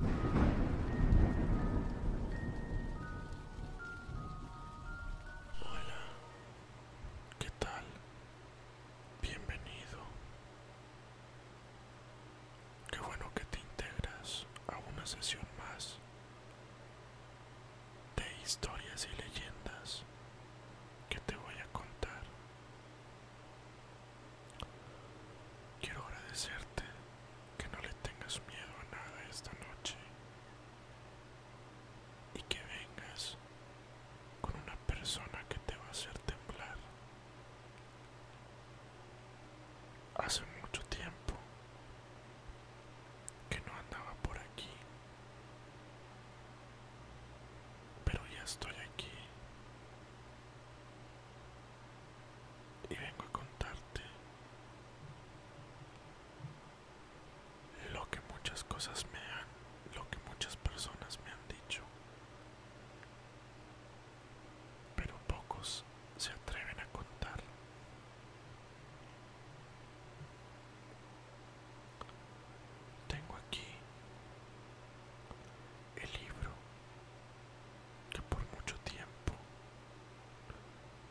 Hola, ¿qué tal? Bienvenido. Qué bueno que te integras a una sesión más de historias y leyendas que te voy a contar. Quiero agradecerte que no le tengas miedo a nada esta noche y que vengas con una persona que te va a hacer temblar. Hace mucho tiempo que no andaba por aquí, pero ya estoy aquí y vengo a contarte lo que muchas cosas me han, lo que muchas personas me han dicho, pero pocos se atreven a contar. Tengo aquí el libro que por mucho tiempo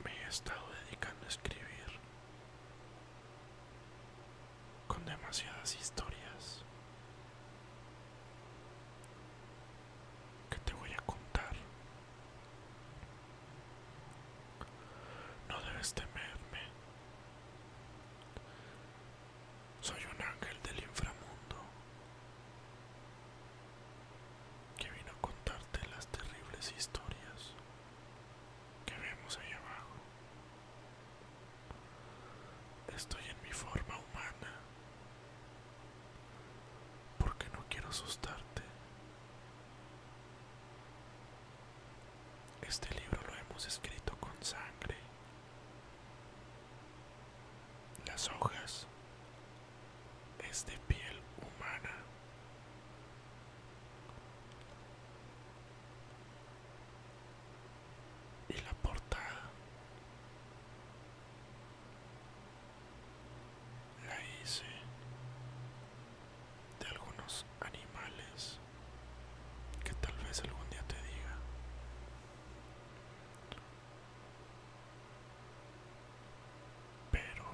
me he estado dedicando a escribir con demasiadas historias que te voy a contar. No debes temerme. Soy un ángel del inframundo que vino a contarte las terribles historias que vemos allá abajo. Estoy en mi forma humana porque no quiero asustarte. Este libro lo hemos escrito con sangre las hojas es de piel humana. Y la portada la hice de algunos animales que tal vez algún día te diga. Pero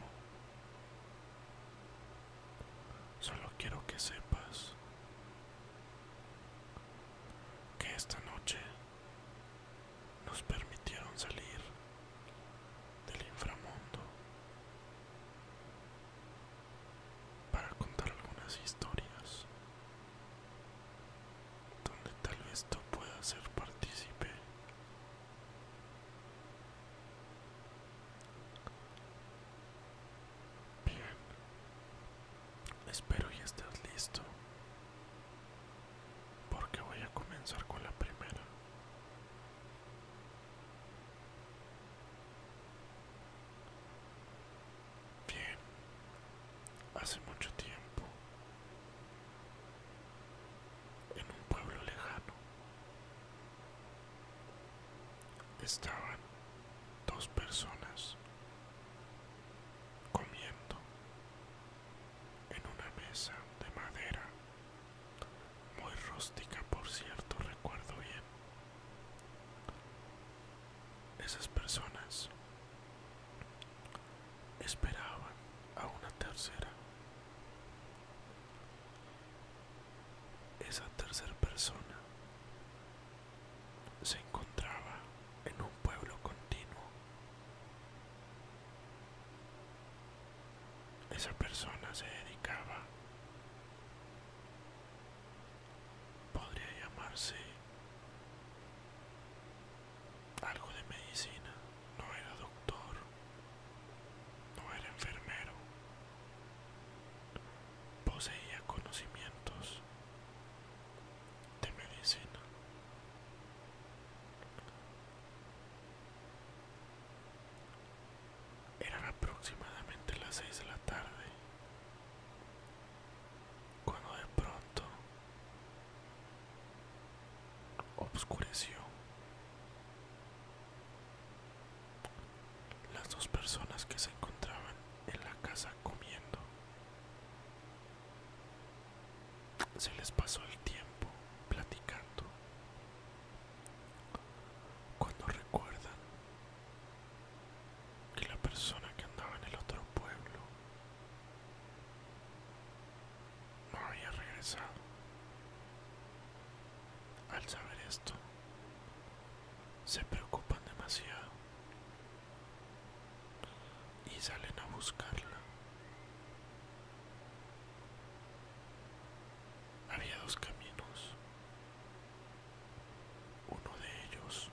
solo quiero que sepas que esta noche nos permitieron salir del inframundo para contar algunas historias donde tal vez tú puedas ser partícipe bien espero ya estés listo porque voy a comenzar con la primera Bien, hace mucho tiempo, en un pueblo lejano, estaban dos personas comiendo en una mesa de madera, muy rústica por cierto, recuerdo bien. Esas personas Esperaban a una tercera. Esa tercera persona se encontraba en un pueblo continuo. Esa persona se dedicaba, podría llamarse algo de medicina. No era doctor, no era enfermero. Poseía conocimientos de medicina. Eran aproximadamente las seis de la tarde cuando de pronto obscureció. Las dos personas que se encontraban en la casa comiendo. Se les pasó el tiempo platicando. Cuando recuerdan que la persona que andaba en el otro pueblo no había regresado. Al saber esto, se preocupan demasiado y salen a buscarla. Había dos caminos. Uno de ellos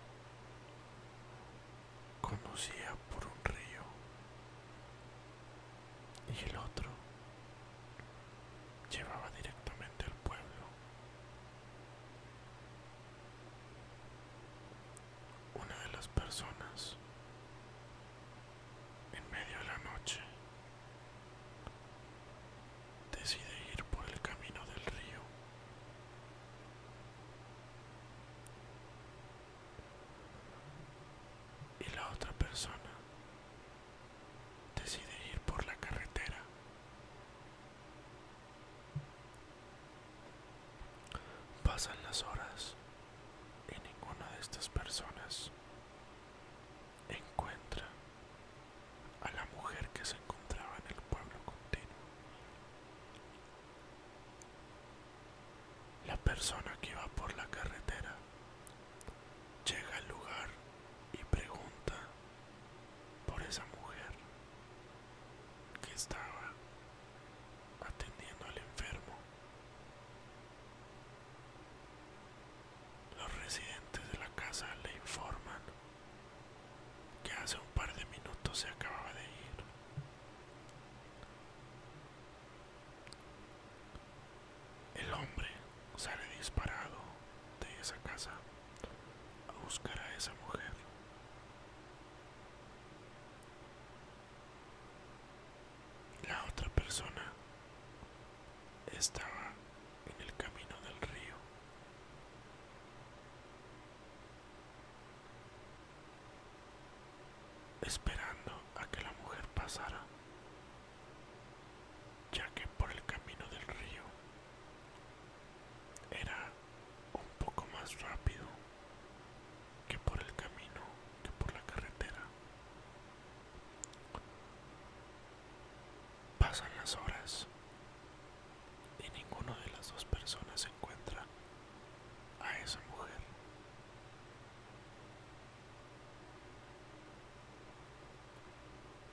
Conocía por un río y el otro llevaba directamente al pueblo. Una de las personas, en medio de la noche, decide ir por el camino del río y la otra persona decide ir por la carretera. Pasan las horas y ninguna de estas personas encuentra a la mujer que se encontraba en el pueblo continuo. La persona que va por la carretera llega al lugar y pregunta por esa mujer que estaba atendiendo al enfermo. Los residentes de la casa le informan que hace un par de minutos se acababa de ir el hombre sale disparado de esa casa a buscar a esa mujer. La otra persona estaba en el camino del río esperando a que la mujer pasara, ya que por el camino del río era un poco más rápido que por el camino, que por la carretera. Pasan las horas y ninguna de las dos personas encuentra a esa mujer.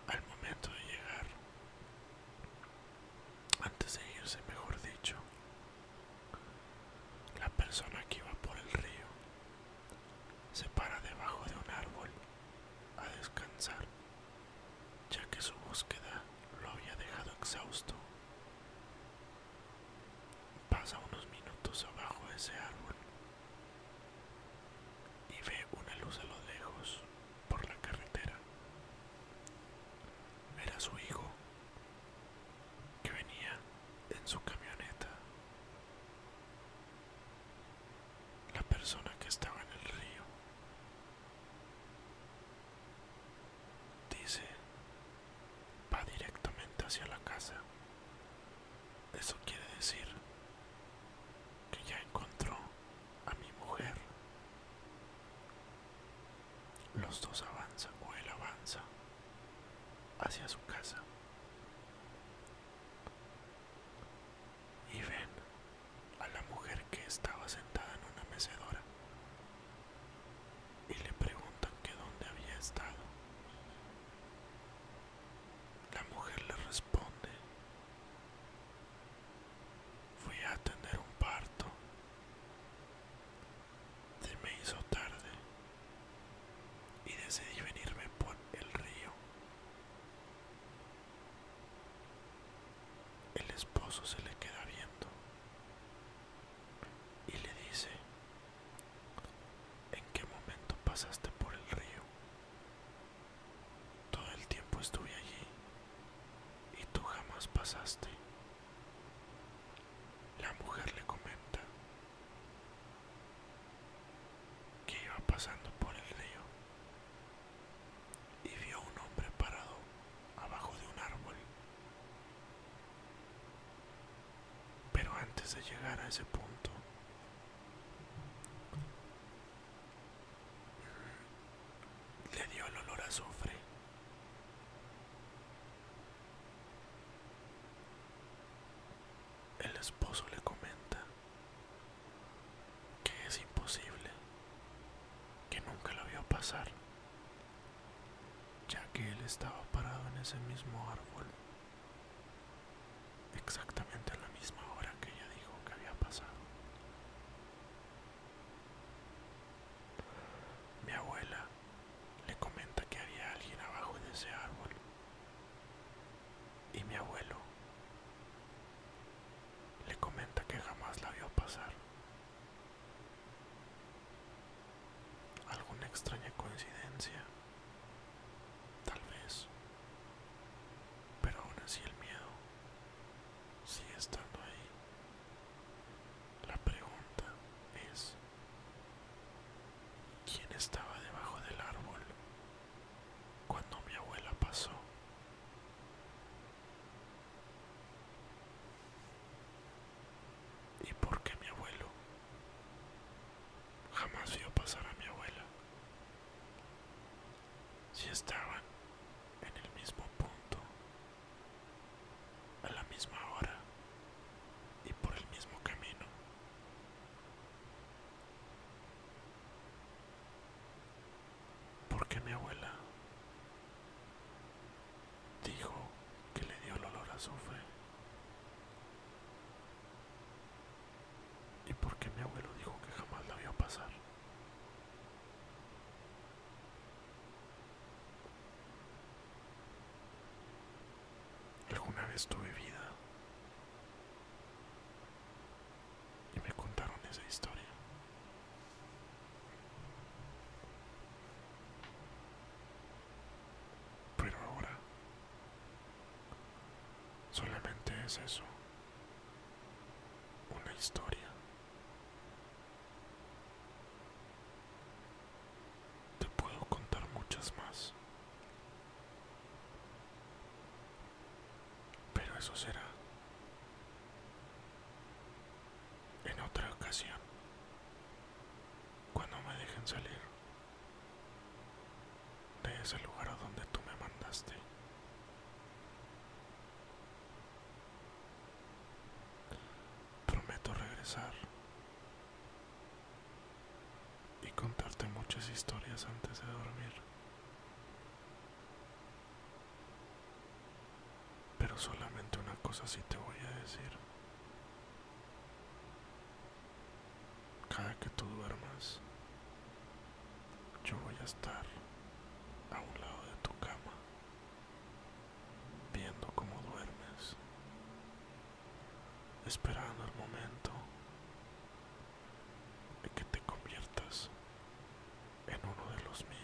Al momento de llegar, antes de irse, mejor dicho, la persona que iba por el río se para debajo de un árbol a descansar, ya que su búsqueda lo había dejado exhausto. Pasa unos minutos abajo de ese árbol y ve una luz a lo lejos por la carretera. Era su hijo que venía en su camioneta. La persona que estaba en el río Dice, va directamente hacia la casa. Eso quiere decir que ya encontró a mi mujer. Los dos avanzan o él avanza hacia su casa. Y ven a la mujer que estaba sentada en una mecedora y le preguntan que dónde había estado. La mujer le responde, fui a atender un parto, se me hizo tarde y decidí venirme por el río. El esposo se le queda viendo y le dice, ¿en qué momento pasaste por el río? Todo el tiempo estuve allí y tú jamás pasaste. La mujer le comenta que iba pasando por el río y vio un hombre parado abajo de un árbol pero antes de llegar a ese punto, le dio el olor a azufre. El esposo le comenta que es imposible, que nunca lo vio pasar ya que él estaba parado en ese mismo árbol, exactamente a la misma hora que ella dijo que había pasado. Mi abuela le comenta que había alguien abajo de ese árbol y mi abuelo le comenta que jamás la vio pasar alguna extraña coincidencia, tal vez, pero aún así el miedo sigue estando ahí. La pregunta es, ¿quién estaba debajo del árbol cuando mi abuela pasó? ¿Y por qué mi abuelo? Jamás vio pasar a mi abuela. Si estaban en el mismo punto, a la misma hora y por el mismo camino. ¿Por qué mi abuela? Dijo que le dio el olor a sufre ¿Y por qué mi abuelo dijo que jamás la vio pasar? Alguna vez tuve vida y me contaron esa historia. Pero ahora solamente es eso, una historia. Te puedo contar muchas más, pero eso será en otra ocasión cuando me dejen salir de ese lugar a donde tú me mandaste. Prometo regresar y contarte muchas historias antes de dormir. Pero solamente una cosa sí te voy a decir. Cada que tú duermas, yo voy a estar a un lado de tu cama, viendo cómo duermes, esperando el momento de que te conviertas en uno de los míos.